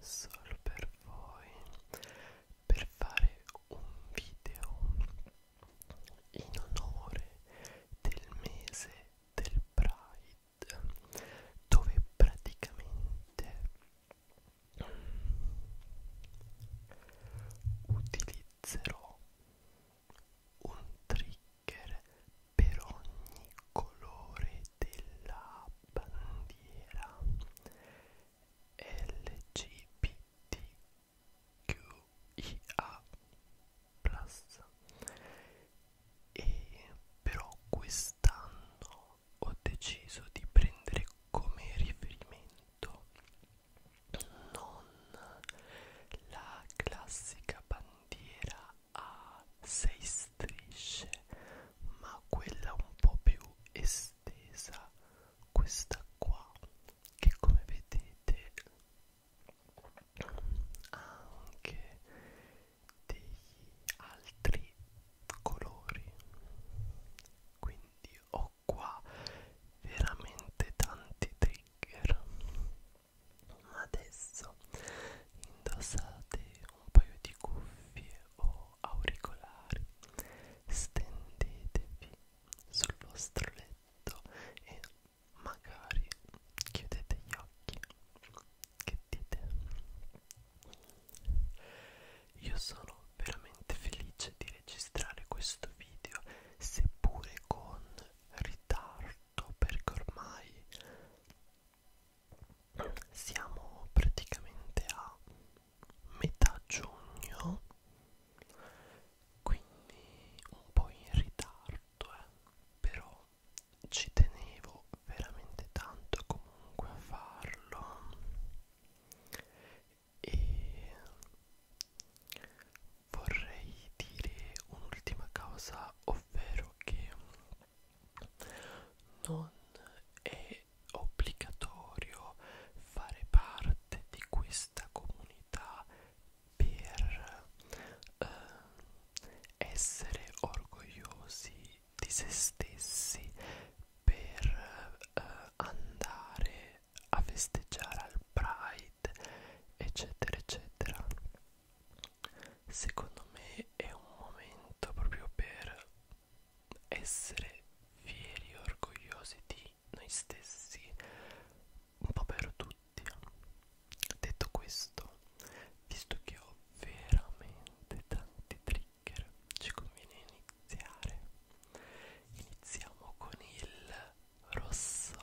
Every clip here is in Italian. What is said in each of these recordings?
solo per voi per fare un video in onore del mese del Pride dove praticamente utilizzerò un trigger per ogni colore della bandiera LGBTQIA e però quest'anno ho deciso di prendere come riferimento non la classica bandiera a sei strisce ma quella un po' più esterna estesa questa qua che come vedete ha anche degli altri colori quindi ho qua veramente tanti trigger ma adesso indossate un paio di cuffie o auricolari stendetevi sul vostro letto e magari chiudete gli occhi che dite io sono veramente felice di registrare questo video seppure con ritardo perché ormai siamo praticamente a metà giugno quindi un po' in ritardo eh. però ci tenevo veramente tanto comunque a farlo e vorrei dire un'ultima cosa ovvero che non è è obbligatorio fare parte di questa comunità per eh, essere orgogliosi di se stessi per eh, andare a festeggiare al Pride eccetera eccetera secondo me è un momento proprio per essere fieri e orgogliosi di noi stessi un po' per tutti detto questo visto che ho veramente tanti trigger ci conviene iniziare iniziamo con il rosso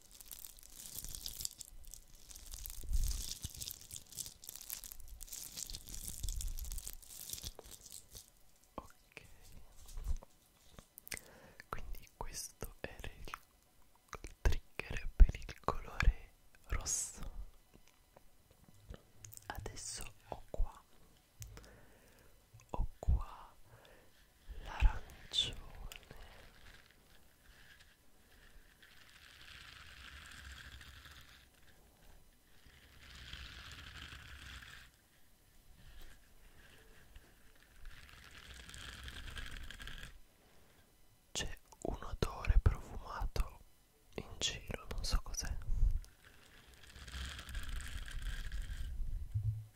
Ok, quindi questo era il trigger per il colore rosso. Adesso ho qua, ho qua l'arancione c'è un odore profumato in giro non so cos'è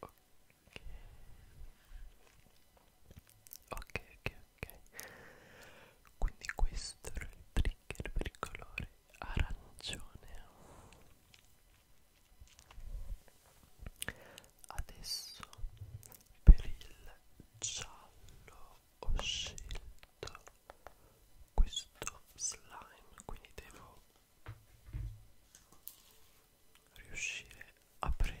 ok ok ok quindi questo era il trigger per il colore arancione adesso per il giallo ho scelto questo slime quindi devo riuscire a prenderlo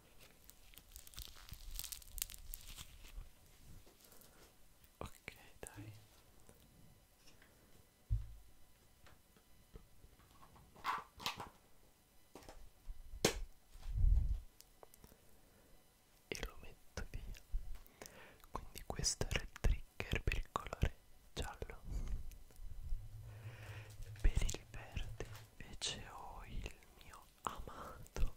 ok dai e lo metto via quindi questo era il trigger per il colore giallo per il verde invece ho il mio amato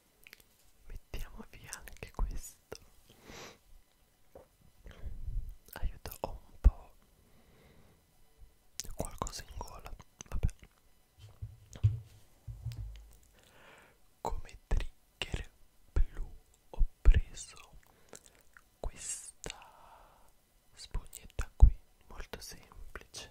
mettiamo via anche questo aiuto ho un po' qualcosa in gola vabbè come trigger blu ho preso questa spugnetta qui molto semplice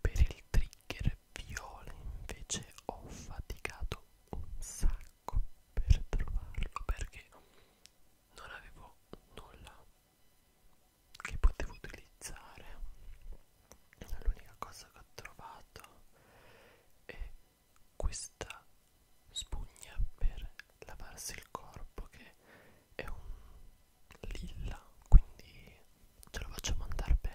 Per il trigger viola invece ho faticato un sacco per trovarlo perché non avevo nulla che potevo utilizzare. L'unica cosa che ho trovato è questa spugna per lavarsi il corpo che è un lilla, quindi ce lo facciamo andare bene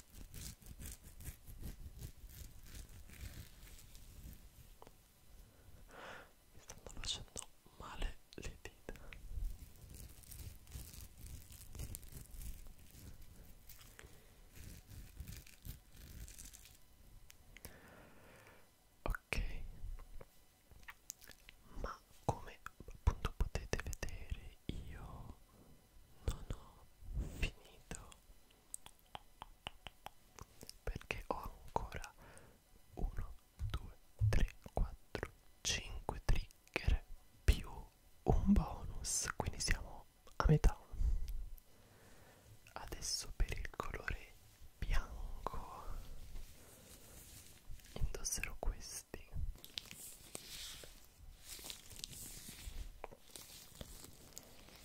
mi stanno facendo male le dita ok ma come appunto potete vedere io non ho finito perché ho ancora 1 2 3 4 5 trigger più un bonus quindi siamo a metà adesso per il colore bianco indosserò questi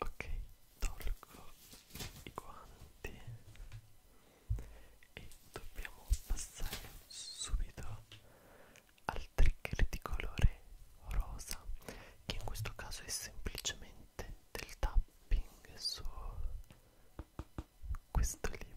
ok tolgo i guanti e dobbiamo passare subito al trigger di colore rosa che in questo caso è semplicemente del tapping su questo libro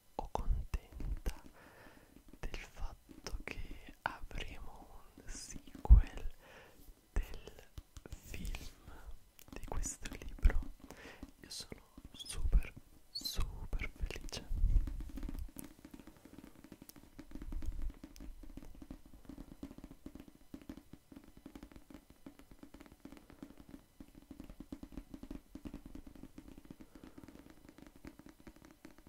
o contenta del fatto che avremo un sequel del film di questo libro io sono super super felice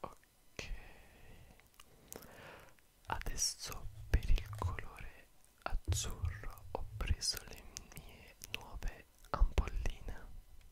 Ok, adesso per il colore azzurro ho preso le mie nuove ampolline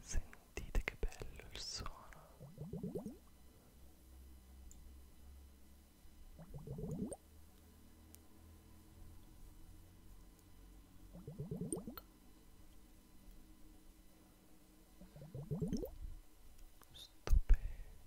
Sentite che bello il suono. Stupendo.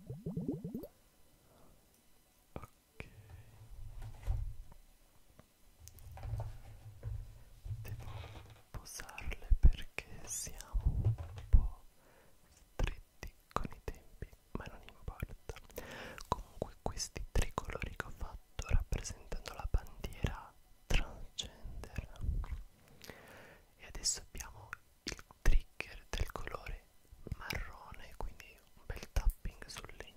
Ok. Devo posarle perché siamo un po' stretti con i tempi, ma non importa. Comunque questi tre colori che ho fatto rappresentano la bandiera transgender. E adesso abbiamo il trigger del colore marrone quindi un bel tapping sul legno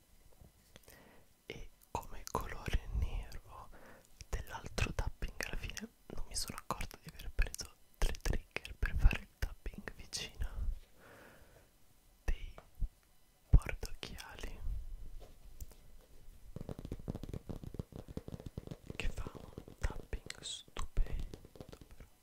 e come colore nero dell'altro tapping alla fine non mi sono accorta di aver preso tre trigger per fare il tapping vicino dei portocchiali che fa un tapping stupendo però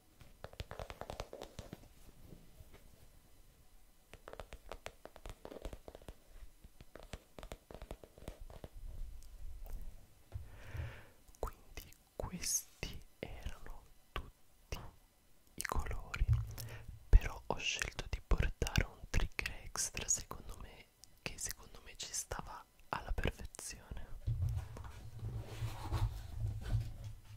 Quindi questi erano tutti i colori, però ho scelto di portare un trigger extra secondo me che secondo me ci stava alla perfezione.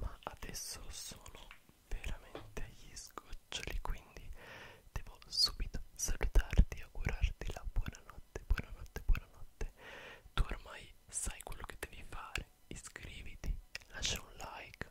ma adesso sono veramente agli sgoccioli quindi devo subito salutarti augurarti la buonanotte buonanotte buonanotte tu ormai sai quello che devi fare iscriviti lascia un like